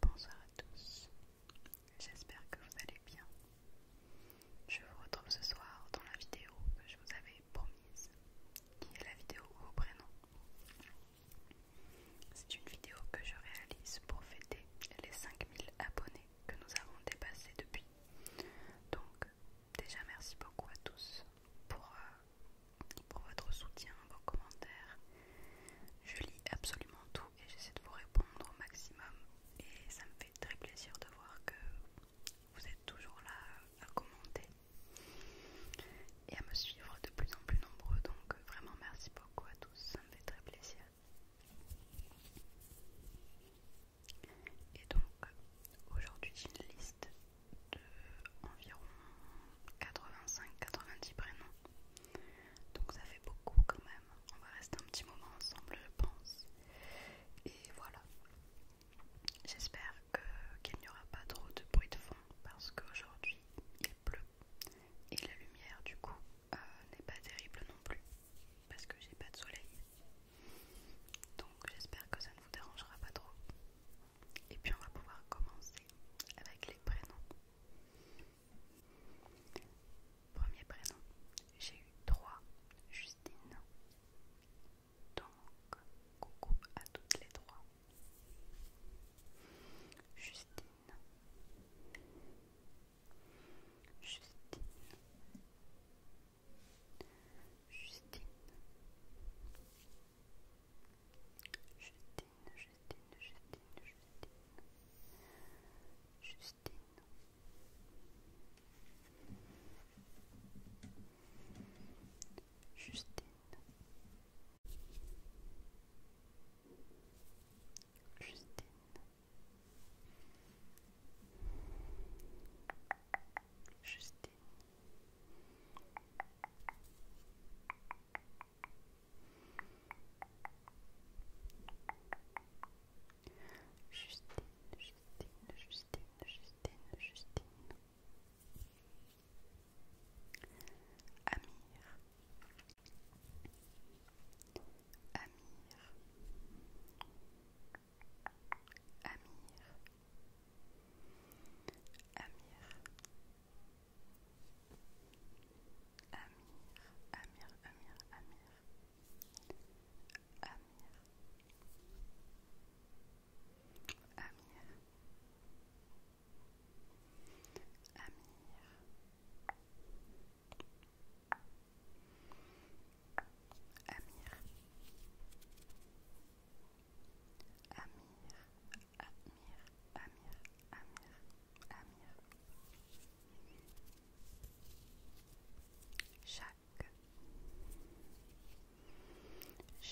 Bonsoir à tous, j'espère que vous allez bien. Je vous retrouve ce soir dans la vidéo que je vous avais promise, qui est la vidéo au prénom. C'est une vidéo que je réalise pour fêter les 5000 abonnés que nous avons dépassés depuis. Donc déjà merci beaucoup à tous pour, euh, pour votre soutien, vos commentaires. Je lis absolument tout et j'essaie de vous répondre au maximum. Et ça me fait très plaisir de voir que vous êtes toujours là à commenter et à me suivre de plus en plus nombreux. Donc euh, vraiment merci beaucoup à tous, ça me fait très plaisir. Et donc aujourd'hui j'ai une liste de environ 85-90 prénoms. Donc ça fait beaucoup quand même. On va rester un petit moment ensemble je pense. Et voilà. J'espère qu'il n'y aura pas trop de bruit de fond parce qu'aujourd'hui il pleut et la lumière du coup euh, n'est pas terrible non plus parce que j'ai pas de soleil donc j'espère que ça ne vous dérangera pas trop. Et puis on va pouvoir commencer avec les prénoms. Premier prénom, j'ai eu trois Justine. Donc coucou à toutes les trois. Justine. Justine. Justine. Justine, Justine, Justine, Justine. Justine. Justine. Justine. Justine. Justine, Justine, Justine, Justine, Justine. Amir. Amir. Amir. Amir. Amir, Amir, Amir, Amir. Amir. Amir. Amir. Amir. Amir, Amir, Amir, Amir, Amir. Chaque.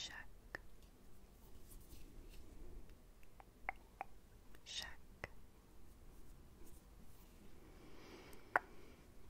Chaque.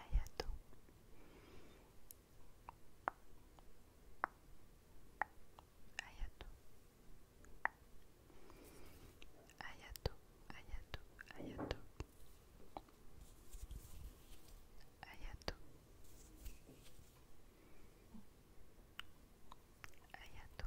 Ayato. Ayato. Ayato, Ayato, Ayato. Ayato. Ayato.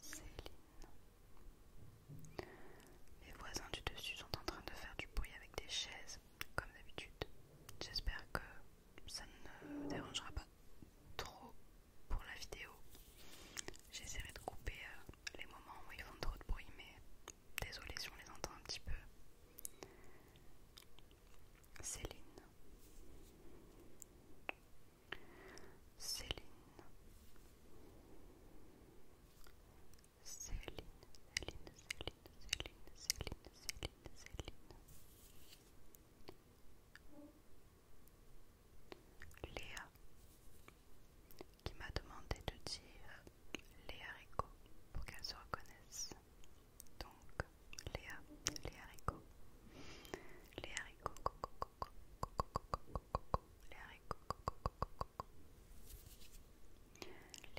Céline. Les voisins du dessus sont en train de faire du bruit avec des chaises, comme d'habitude. J'espère que ça ne dérangera pas trop pour la vidéo. J'essaierai de couper euh, les moments où ils font trop de bruit, mais désolé si on les entend un petit peu. Céline. Céline, Céline, Céline, Céline, Céline, Céline, Céline, Céline. Léa, qui m'a demandé de dire Léa Rico pour qu'elle se reconnaisse. Donc, Léa, les Léa Rico, haricots, coco, Léa, Léa, Léa, Léa,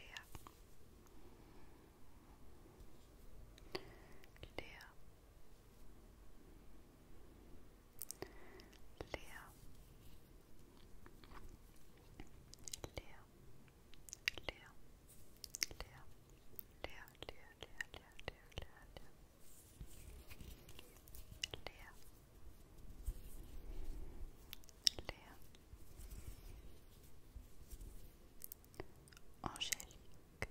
Léa, Léa, Léa, Léa, Léa, Léa Léa Angélique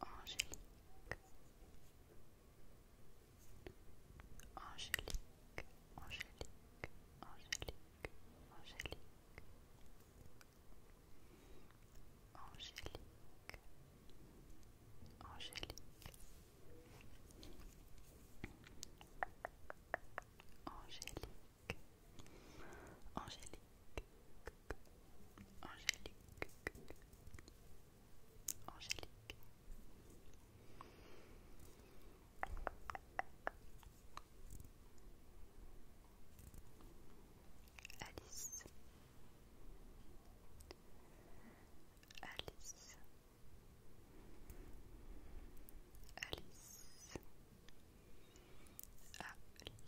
Angélique Angélique Angélique Angélique Angélique Angélique, Angélique, Angélique, Angélique, Angélique, Angélique. Angélique Alice, Alice Alice Alice Alice Alice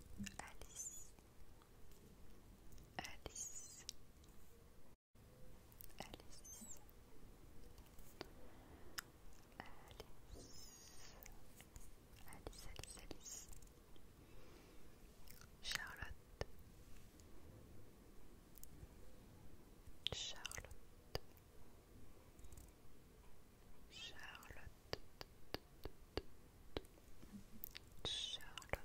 Alice Alice. Alice. Alice. Alice, Alice, Alice. Charlotte. Charlotte. Charlotte. Charlotte.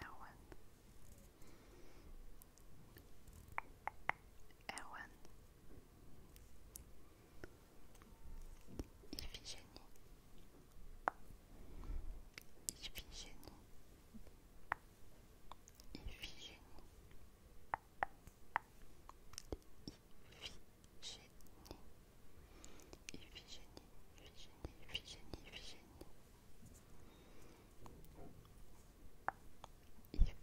Erwan. Erwan. Iphigénie. Iphigénie. Iphigénie. Iphigénie. Iphigénie, Iphigénie, Iphigénie, Iphigénie. Iphigénie.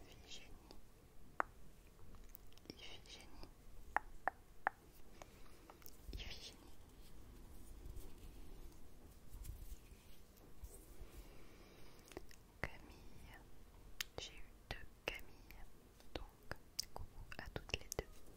Camille. J'ai eu deux Camille. Donc, coucou à toutes les deux.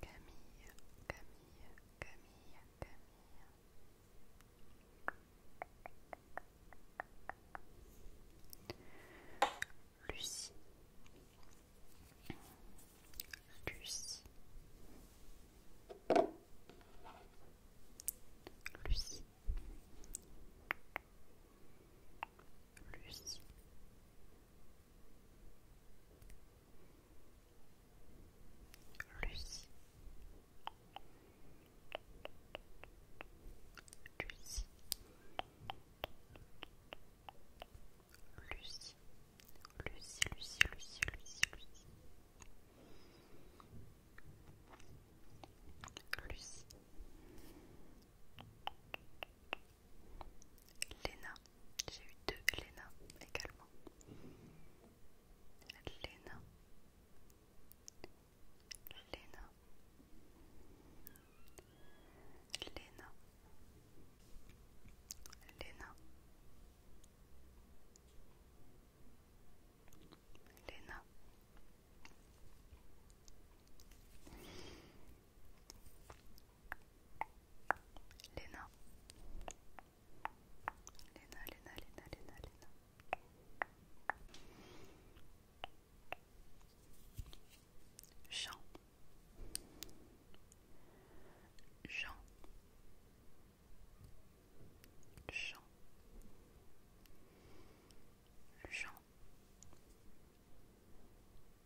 Camille, Camille, Camille, Camille. Lucie, Lucie, Lucie, Lucie, Lucy. Lucie, Lucie, Lucie, Lucie, Lucie, Lucie, Lucie. Lena, j'ai eu deux Lena également. Lena, Lena, Lena, Lena, Léna. Léna. Léna, Léna, Léna, Léna, Jean. Jean. Jean. Jean.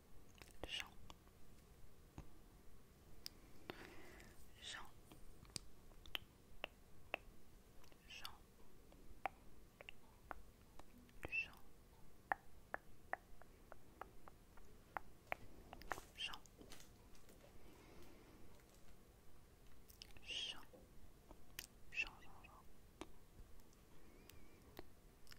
Jean Jean Jean Jean Jean Jean Jean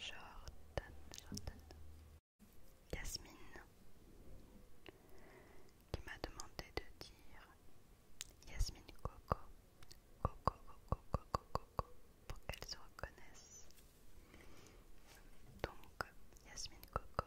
Jordan, Jordan. Yasmine qui m'a demandé de dire Yasmine Coco, Coco, Coco, Coco, Coco, pour qu'elle se reconnaisse. Donc, Yasmine Coco.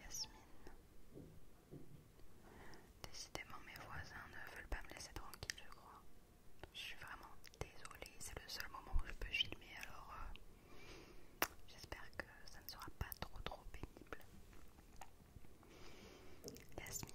Yasmine. Décidément, mes voisins ne veulent pas me laisser tranquille, je crois. Je suis vraiment désolée, c'est le seul moment où je peux filmer, alors euh, j'espère que ça ne sera pas trop trop pénible. Yasmine.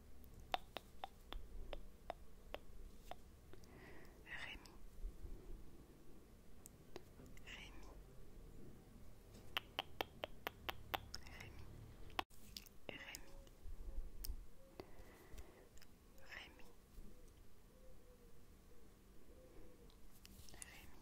Rémi Rémi Rémi Rémi Rémi Rémi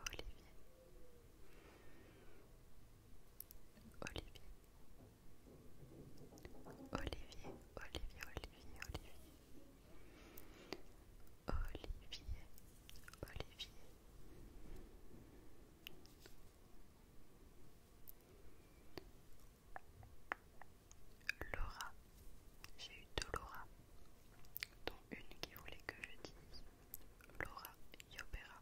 Olivier Olivier Olivier, Olivier, Olivier, Olivier Olivier, Olivier Laura, j'ai eu de Laura dont une qui voulait que je dise Laura Yopera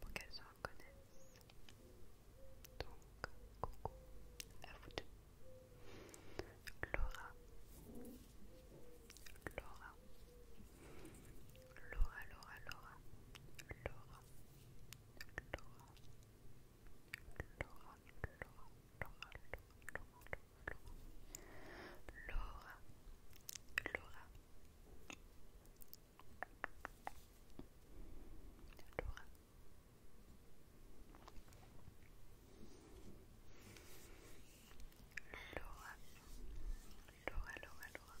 pour qu'elles se connaissent Donc, coucou à vous deux. Laura, Laura, Laura, Laura, Laura, Laura, Laura, Laura, Laura, Laura, Laura, Laura. Laura, Laura, Laura. Laura, Laura, Laura, Laura.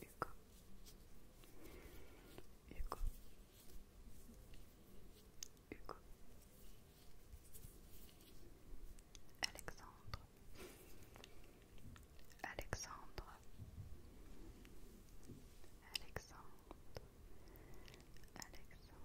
Hugo. Hugo. Hugo. Alexandre. Alexandre. Alexandre. Alexandre.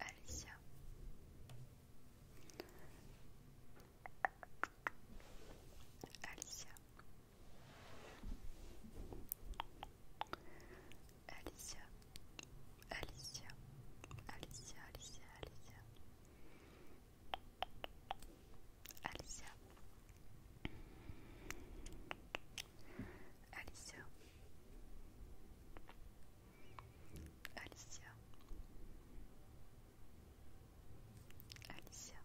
Alicia. Alicia. Alicia. Alicia. Alicia, Alicia, Alicia. Alicia. Alicia. Alicia Alicia Alicia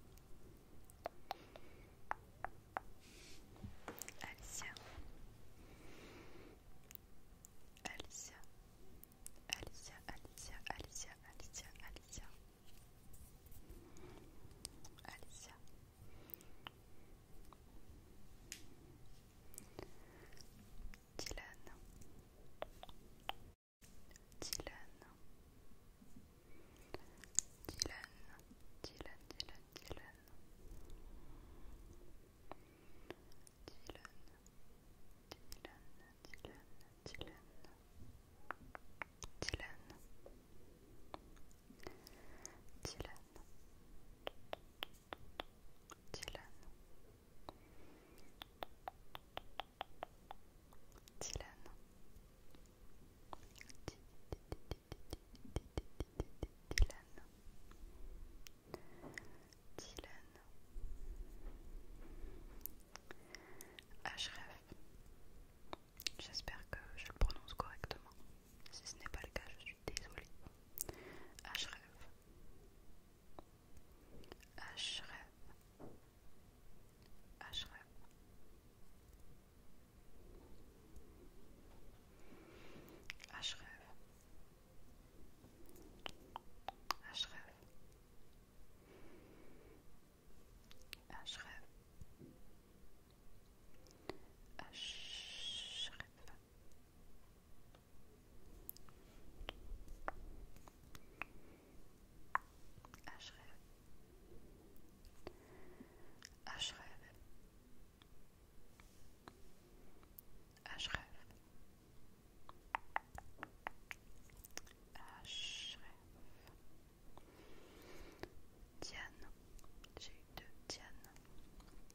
Alicia Alicia Alicia Alicia Alicia Alicia Dylan Dylan Dylan Dylan Dylan Dylan Dylan Dylan Dylan Dylan Dylan Dylan Dylan Dylan Dylan J'espère que je le prononce correctement si ce n'est pas le cas, je suis désolée. H rêve. H rêve. H rêve. H rêve. H rêve. H rêve. H rêve. H e H e Diane. J'ai eu deux Diane.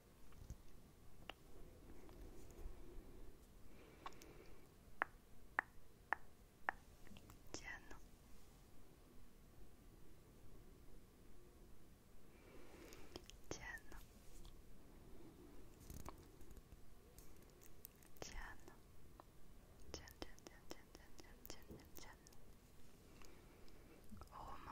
Diane. Diane. Diane. Roman.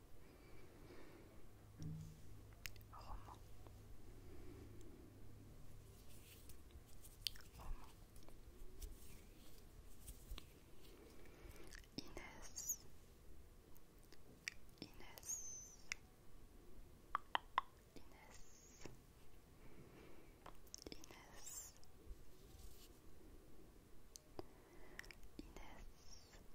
Roman. Inès. Inès. Inès. Inès. Inès. Inès.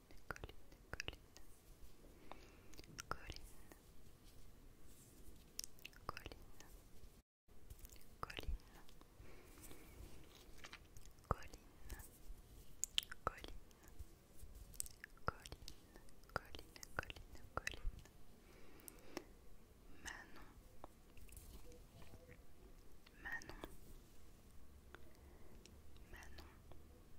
colline, colline, colline, colline, colline, colline, colline, colline, colline, colline. Manon, Manon, Manon,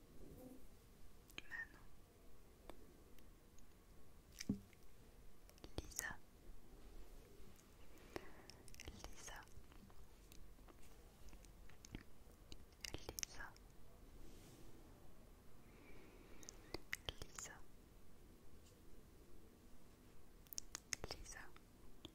Manon Lisa Lisa Lisa Lisa Lisa Lisa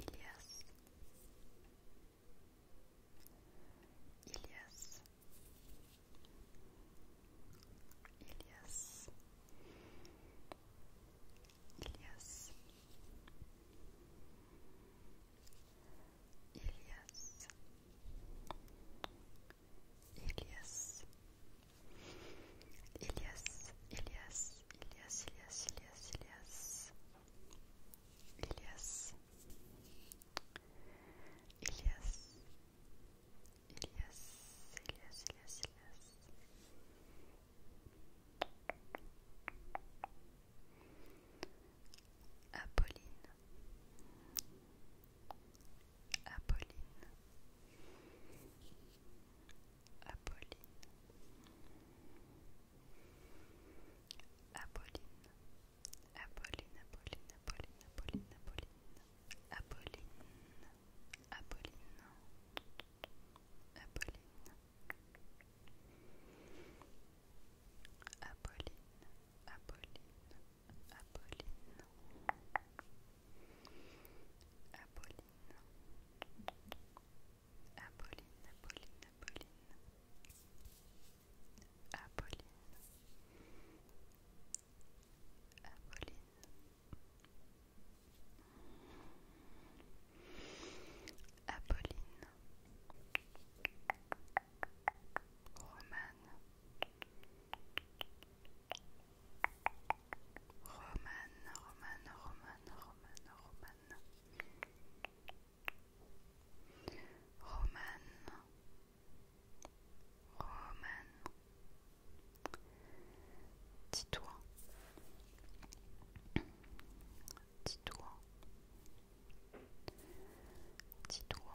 Ilias Ilias Ilias Ilias Ilias Ilias Ilias Ilias Ilias, Ilias, Ilias, Ilias, Ilias, Ilias, Ilias, Ilias, Ilias, Ilias. Apolline, Apolline, Apolline Apolline Apolline Apolline Apolline Apolline Apolline Apolline Apolline Apolline Apolline Apolline Apolline Apolline Apolline Apolline, Apolline, Apolline. Apolline. Apolline. Apolline. Romane. Romane, Romane, Romane, Romane, Romane. Romane. Romane. toi dis-toi, dis-toi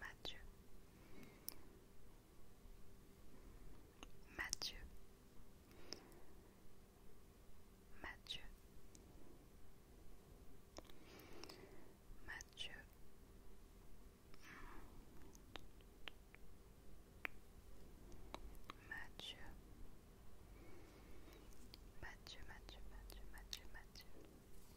Mathieu Mathieu Mathieu Mathieu Mathieu Mathieu Mathieu Mathieu Mathieu Mathieu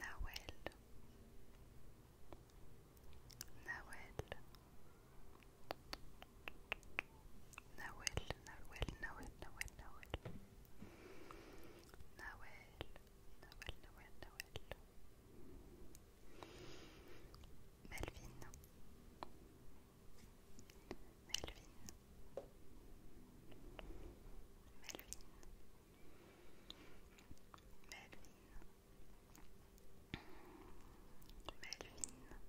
Nawel Nawel Nawel Nawel Nawel Nawel Nawel Nawel Nawel Melvin Melvin. Melvin. Melvin. Melvin. Melvin. Melvin. Melvin. Melvin.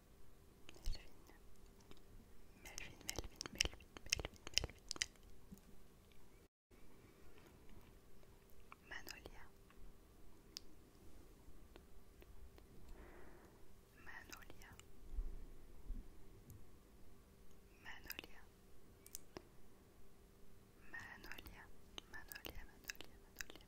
Melvin, Melvin, Melvin, Melvin, Melvin, Manolia, Manolia, Manolia, Manolia, Manolia, Manolia, Manolia.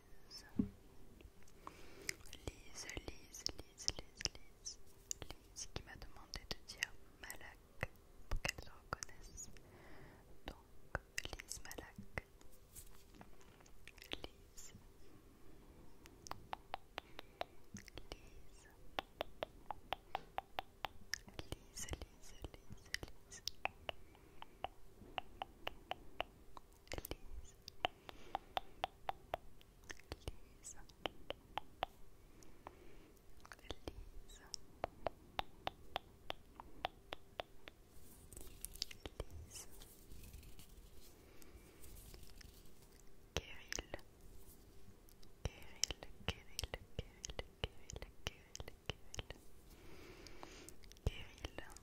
Lise, Lise, Lise, Lise, Lise, Lise qui m'a demandé de dire Malak pour qu'elle se reconnaisse. Donc, Lise Malak. Lise. Lise. Lise, Lise, Lise, Lise. Lise. Lise. Lise. Lise. Kirill. Kirill, Kirill, Kirill, Kirill, Kirill, Kirill.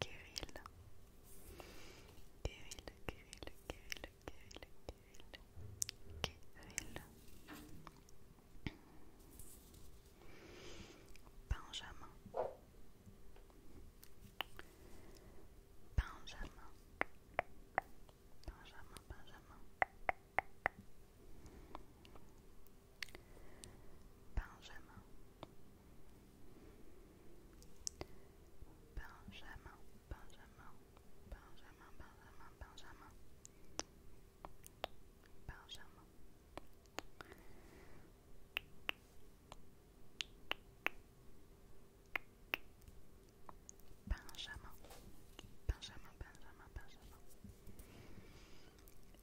Kirill. Benjamin. Benjamin, Benjamin. Benjamin. Benjamin. Benjamin, Benjamin, Benjamin, Benjamin, Benjamin, Benjamin.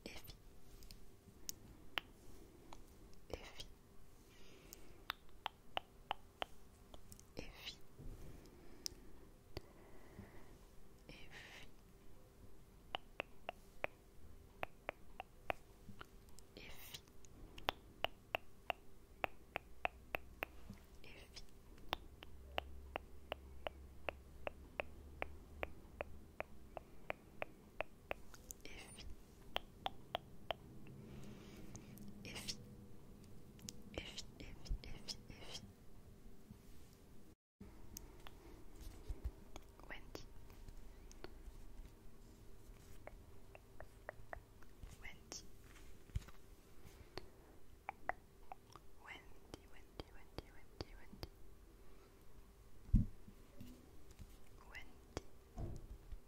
Benjamin, Benjamin, et Effie. Effie Effie Effie Effie Effie Effie Wendy Wendy, Wendy, Wendy, Wendy, Wendy Wendy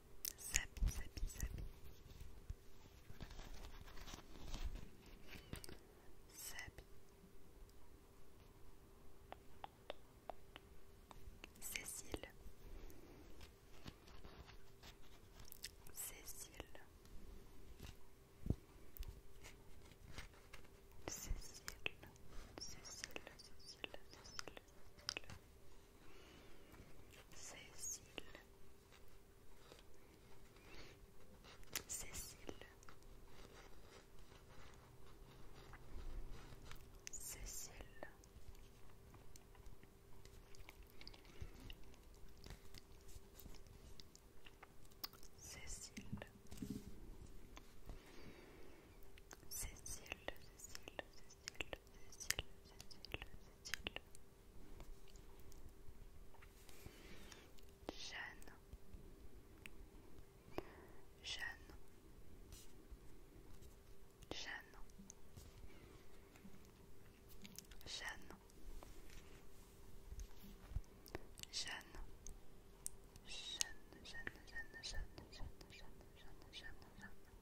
Sabi, Sabi, Cécile. Cécile. Cécile, Cécile, Cécile, Cécile, Cécile Cécile Cécile Cécile Cécile, Cécile, Cécile, Cécile, Cécile, Cécile, Cécile. Jeanne. Jeanne. Jeanne. Jeanne. Jeanne. Jeanne, Jeanne, Jeanne, Jeanne, Jeanne, Jeanne, Jeanne, Jeanne, Jeanne, Jeanne.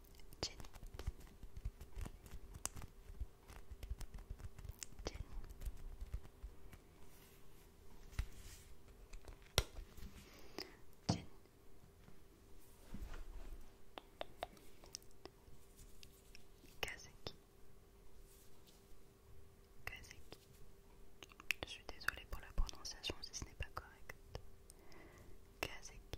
Kazeki, Je suis désolée pour la prononciation si ce n'est pas correct. Kazeki.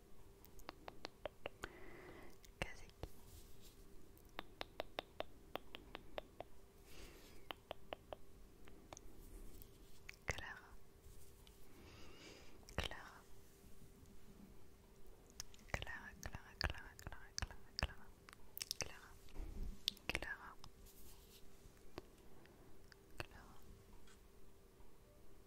Kazeki. Clara. Clara, Clara, Clara, Clara, Clara. Clara. Clara. Clara. Clara.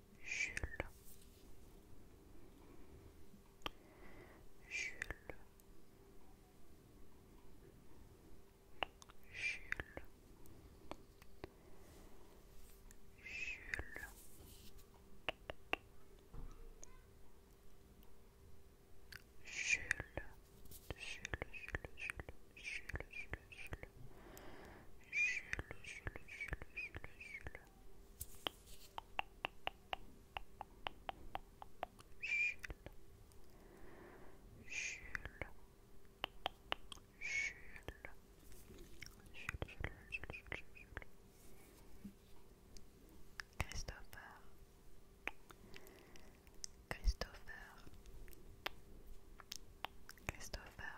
Jules. Jules. Jules. Jules. Jules. Jules, Jules, Jules, Jules, Jules, Jules, Jules, Jules, Jules, Christopher, Christopher, Christopher,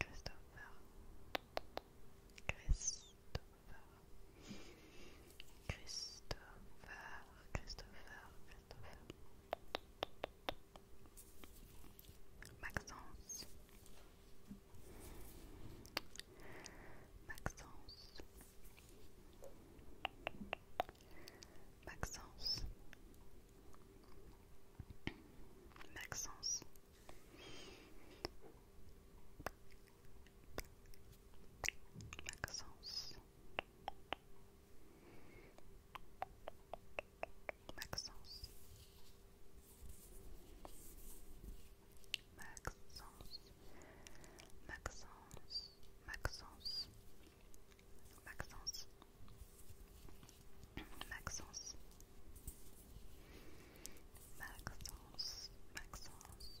Christopher, Christopher, Christopher, Christopher, Christopher, Maxence, Maxence, Maxence. Maxence Maxence. Maxence. Maxence. Maxence. Maxence. Maxence. Maxence. Maxence, Maxence.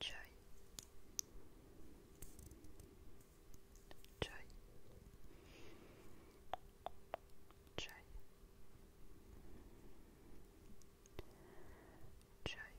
Joy. Joy. Joy. Joy. Joy. Joy.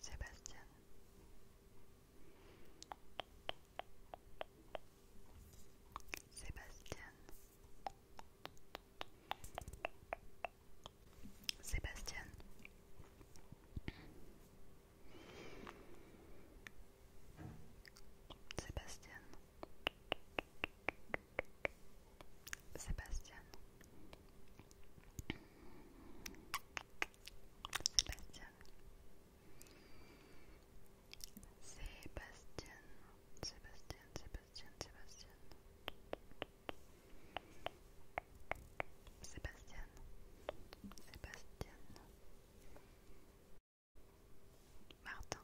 Sébastien. Sébastien. Sébastien. Sébastien. Sébastien. Sébastien. Sébastien. Sébastien, Sébastien, Sébastien. Sébastien. Sébastien. Martin.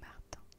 Martin.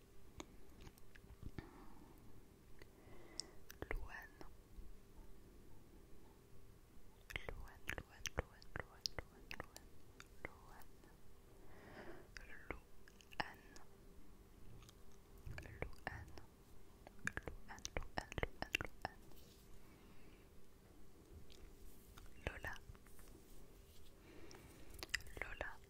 Louane. Louane, Louane, Louane, Louane, Louane, Louane, Louane, Louane, Louane, Louane, Louane, Lola Lola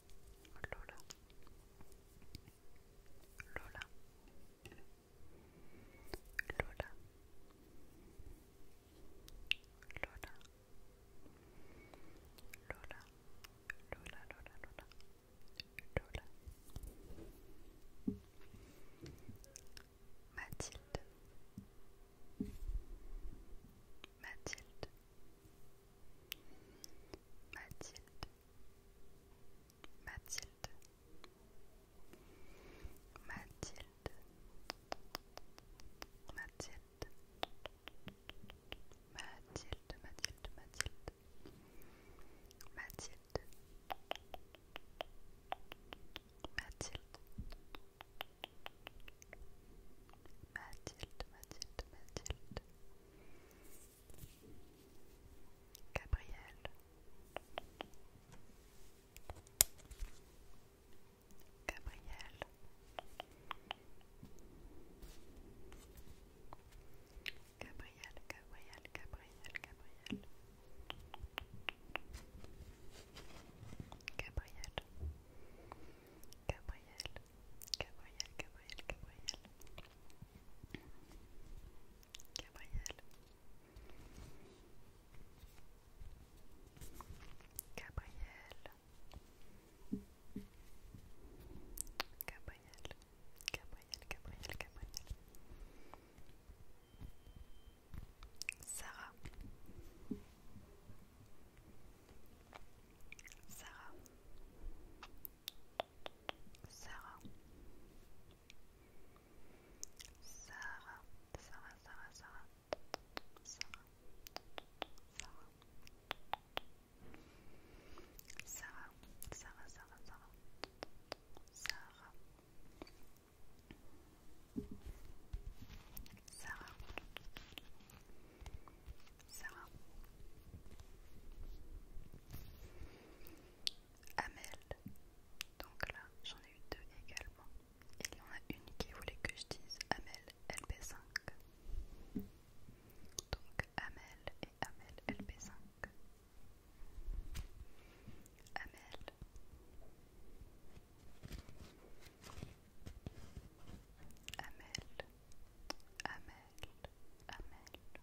Lola. Lola. Lola. Lola. Lola. Lola, Lola, Lola. Mathilde. Mathilde. Mathilde. Mathilde. Mathilde Mathilde Mathilde Mathilde Mathilde Mathilde Mathilde Mathilde Mathilde Mathilde Mathilde Gabriel Gabriel Gabriel Gabriel Gabriel Gabriel Gabriel Gabriel Gabriel Gabriel Gabriel Gabriel Gabriel Gabriel Gabriel Gabriel Gabriel Sarah Sarah Sarah Sarah. Sarah, Sarah, Sarah, Sarah, Sarah, Sarah, Sarah, Sarah, Sarah, Amel. Donc là, j'en ai eu deux également. il y en a une qui voulait que je dise Amel LP5. Donc Amel et Amel LP5. Amel. Amel. Amel. Amel.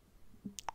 Judicale,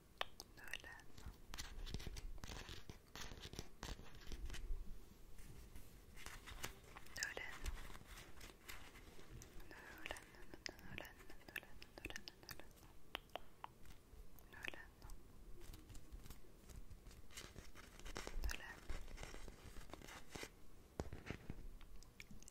Nolan. Nolan. Nolan, Nolan, Nolan, Nolan, Nolan. Nolan. Nolan.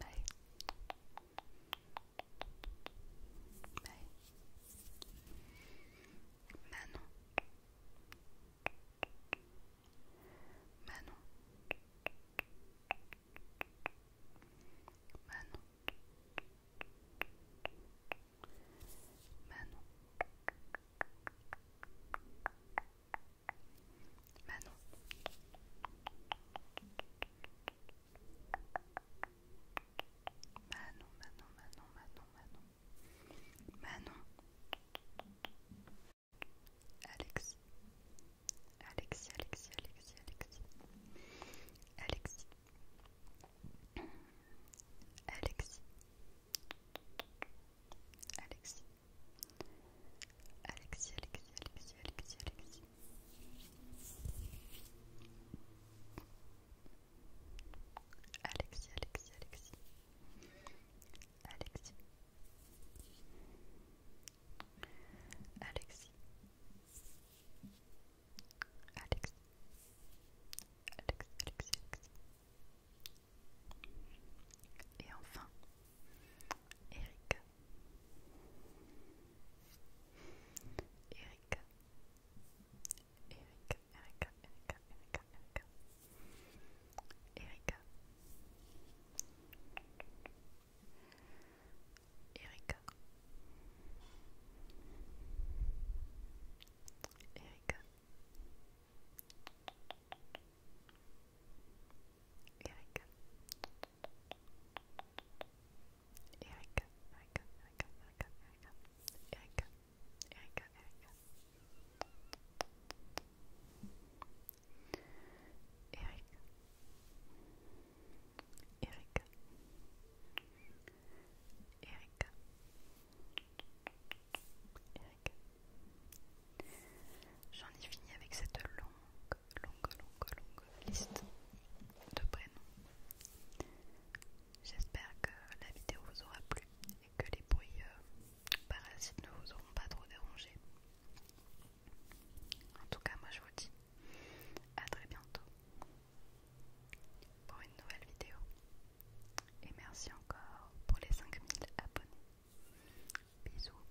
Bye. Bye. Manon. Manon. Manon. Manon. Manon. Manon. Manon, Manon, Manon, Manon, Manon. Manon. Alexis. Alexis, Alexis, Alexis, Alexis. Alexis. Alexis. Alexis. Alexis, Alexis, Alexis, Alexis, Alexis. Alexis, Alexis, Alexis. Alexis. Alexis. Alexis. Alexis, Et enfin, Erika. Erika. Erika, Erika, Erika, Erika, Erika. Erika. Erika. Erika. Eric Eric Eric Eric Eric Eric Eric Eric Erika, J'en ai fini avec cette longue longue, longue, longue, liste de prénoms. J'espère que la vidéo vous aura plu et que les bruits euh, parasites ne vous auront pas trop dérangé. En tout cas, moi je vous dis à très bientôt pour une nouvelle vidéo. Et merci encore pour les 5000 abonnés. Bisous.